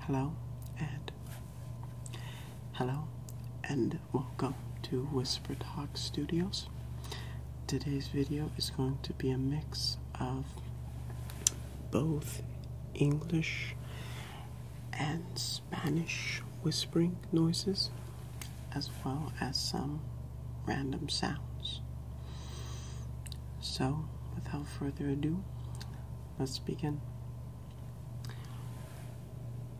Hello and hello and welcome to Whisper Talk Studios. Today's video is going to be a mix of both English and Spanish whispering noises as well as some random sounds. So, without further ado, Let's begin.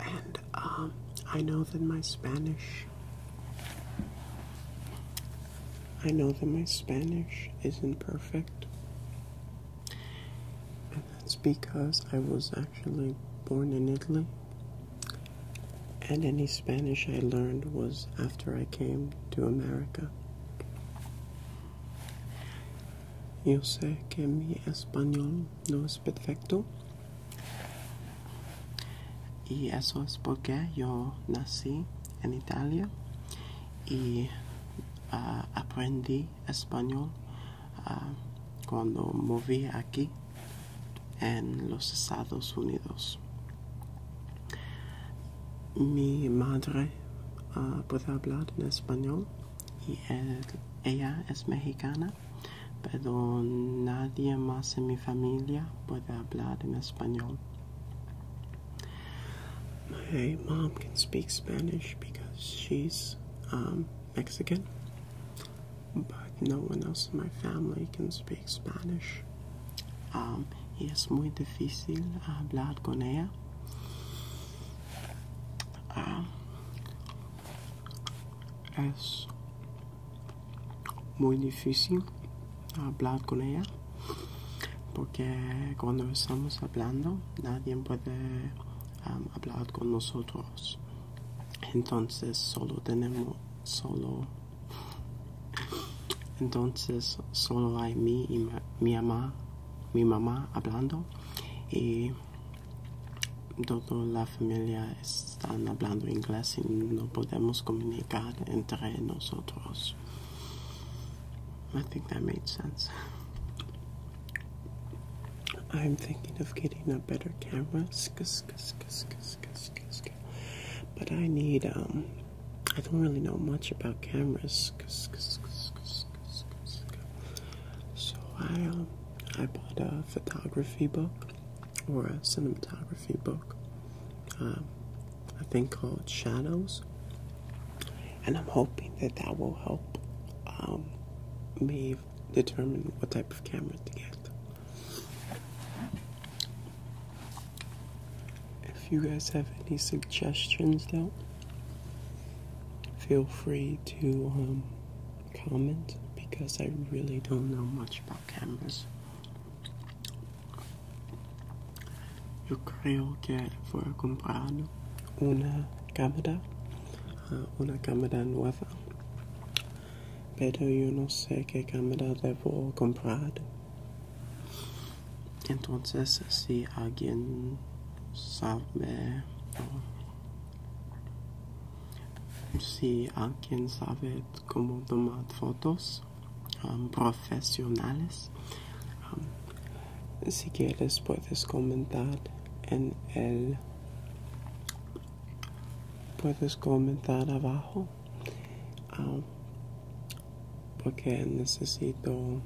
And um, I know that my Spanish. I know that my Spanish isn't perfect. And that's because I was actually born in Italy. And any Spanish I learned was after I came to America. Yo sé que mi español no es perfecto y eso es porque yo nací en Italia y ah, aprendí español ah, cuando moví aquí en los Estados Unidos. Mi madre Uruguay, uh, hablar en español y eh, ella es mexicana, pero nadie más en mi familia puede hablar en español. My mom can speak Spanish because she's um, Mexican, but no one else in my family can speak Spanish. Um, y es muy difícil hablar con ella. Ah, es muy difícil hablar con ella porque cuando estamos hablando nadie puede hablar con nosotros entonces solo tenemos solo entonces solo hay mí y mi mamá mi mamá hablando y toda la familia están hablando inglés y no podemos comunicar entre nosotros. I think that made sense. I'm thinking of getting a better camera, but I need um, I don't really know much about cameras. Cause, cause, cause, cause. So I um, I bought a photography book or a cinematography book, um, I think called Shadows, and I'm hoping that that will help um, me determine what type of camera to get. If you guys have any suggestions, though. Feel free to um, comment because I really don't know much about cameras. Yo creo que fue comprado una cámara, ah, una cámara nueva, pero yo no sé qué cámara debo comprar. Entonces, si alguien sabe, si alguien sabe cómo tomar fotos um, profesionales, um, si quieres puedes comentar en el puedes comentar abajo. Um, porque necesito.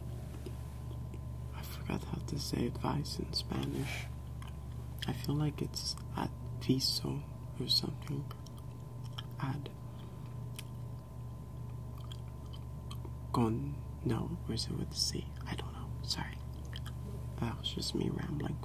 I forgot how to say advice in Spanish. I feel like it's adviso or something. Ad. Con. No, Where's it with the c? C? I don't know. Sorry. That was just me rambling.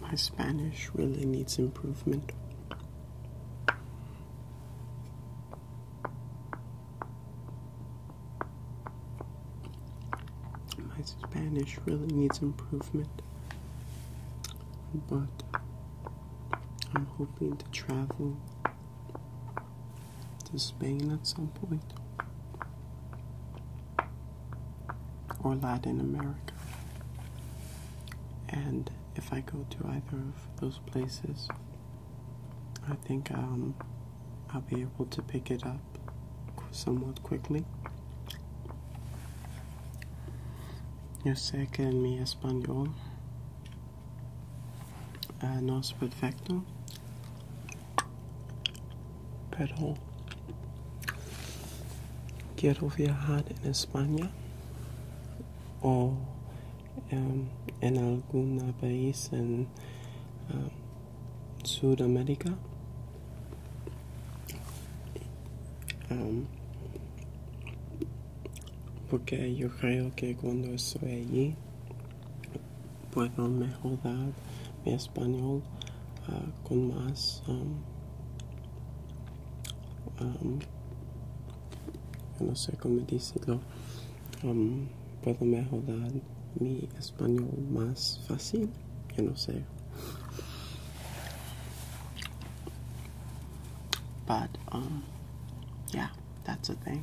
My Spanish really needs improvement. My Spanish really needs improvement, but I'm hoping to travel to Spain at some point or Latin America. And if I go to either of those places, I think um, I'll be able to pick it up somewhat quickly. Yo sé que en mi español uh, no es perfecto, Pero quiero viajar en España o em, en algún país en em, Sudamérica. Em, porque yo creo que cuando estoy allí puedo mejorar mi español ah, con más no sé cómo decirlo puedo mejorar mi español más fácil yo no sé but um yeah that's a thing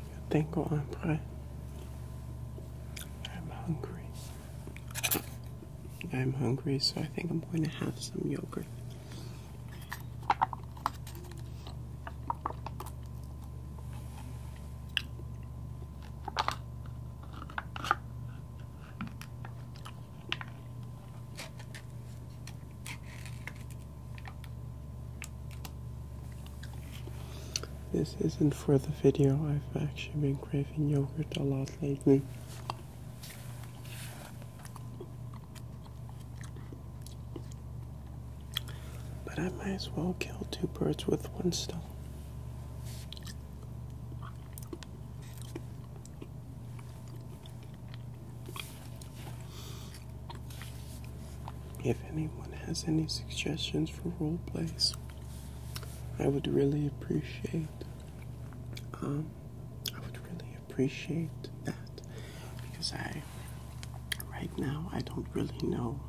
Yo tengo hambre. I'm hungry. I'm hungry, so I think I'm going to have some yogurt. This isn't for the video, I've actually been craving yogurt a lot lately. But I might as well kill two birds with one stone. If anyone has any suggestions for role plays, I would really appreciate um, I would really appreciate that because I right now I don't really know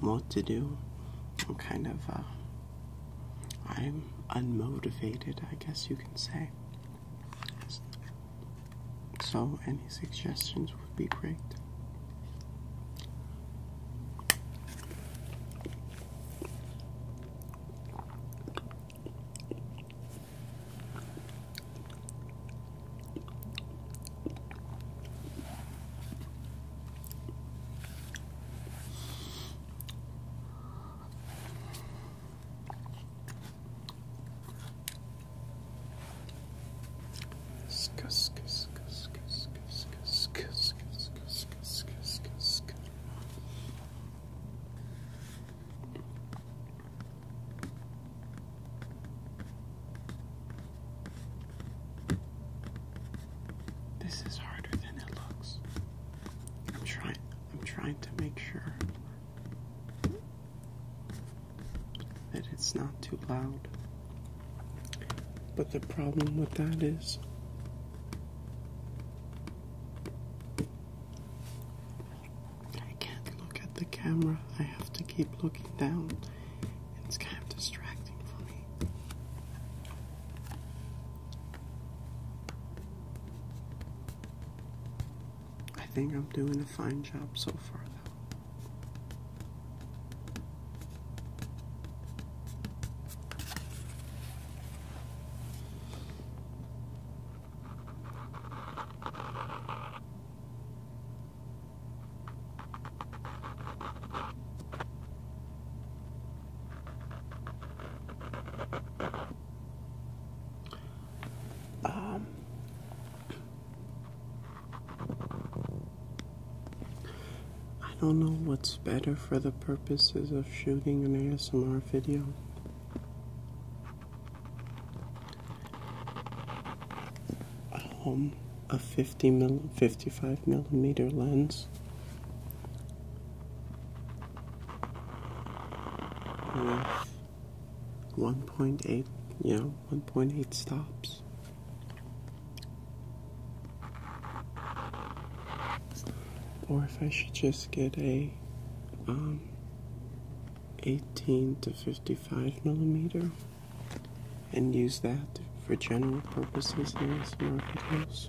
what to do. I'm kind of uh, I'm unmotivated, I guess you can say. So, any suggestions would be great. This is harder than it looks. I'm trying I'm trying to make sure that it's not too loud. But the problem with that is I can't look at the camera. I have to keep looking down. It's kind of distracting for me. I think I'm doing a fine job so far, though. Um, I don't know what's better for the purposes of shooting an ASMR video. Um, a 50 mil 55 millimeter lens with hmm. 1.8, you know, 1.8 stops. Or if I should just get a um, 18 to 55 millimeter and use that for general purposes in ASMR videos.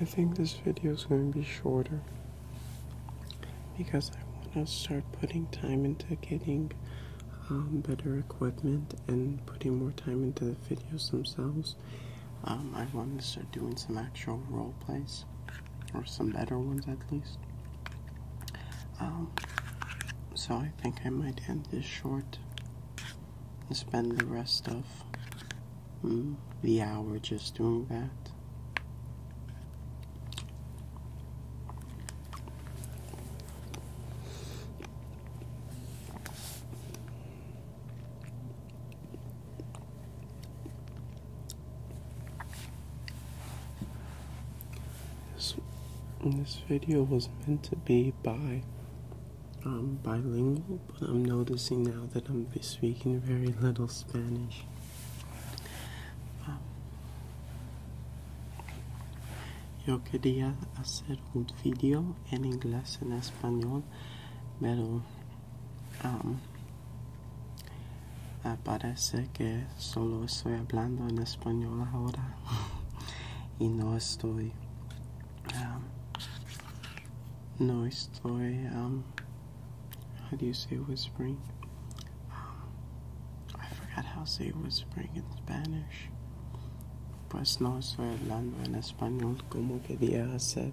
I think this video is going to be shorter because I want to start putting time into getting um, better equipment and putting more time into the videos themselves. Um, I want to start doing some actual role plays or some better ones at least. Um, so I think I might end this short and spend the rest of mm, the hour just doing that. This, video was meant to be by um, bilingual, but I'm noticing now that I'm speaking very little Spanish. Um, yo quería hacer un video en inglés en español, pero um, parece que solo estoy hablando en español ahora y no estoy um, no estoy um, how do you say whispering um, I forgot how to say whispering in Spanish pues no estoy hablando en español como quería hacer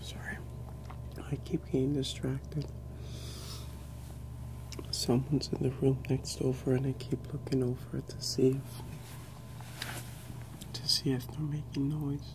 Sorry, I keep getting distracted. Someone's in the room next door, and I keep looking over to see to see if they're making noise.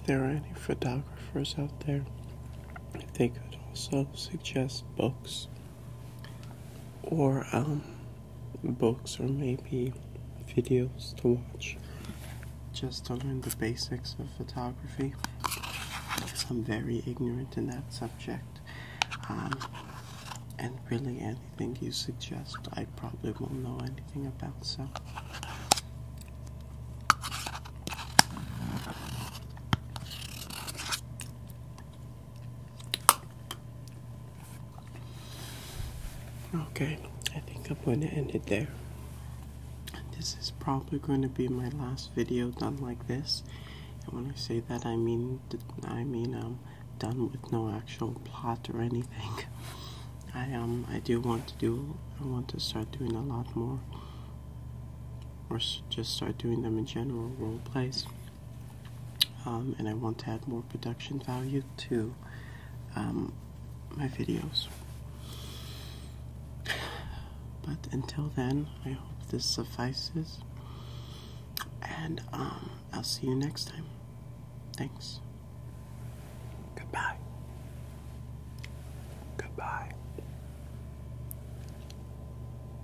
If there are any photographers out there, if they could also suggest books or um, books or maybe videos to watch just to learn the basics of photography I'm very ignorant in that subject. Um, and really, anything you suggest, I probably won't know anything about. So, okay, I think I'm going to end it there. This is probably going to be my last video done like this, and when I say that, I mean I mean um done with no actual plot or anything. I um I do want to do I want to start doing a lot more, or just start doing them in general role plays. Um, and I want to add more production value to um, my videos. But until then, I hope this suffices. And um, I'll see you next time. Thanks. Goodbye. Goodbye.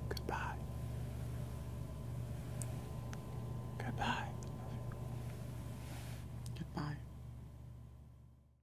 Goodbye. Goodbye. Goodbye.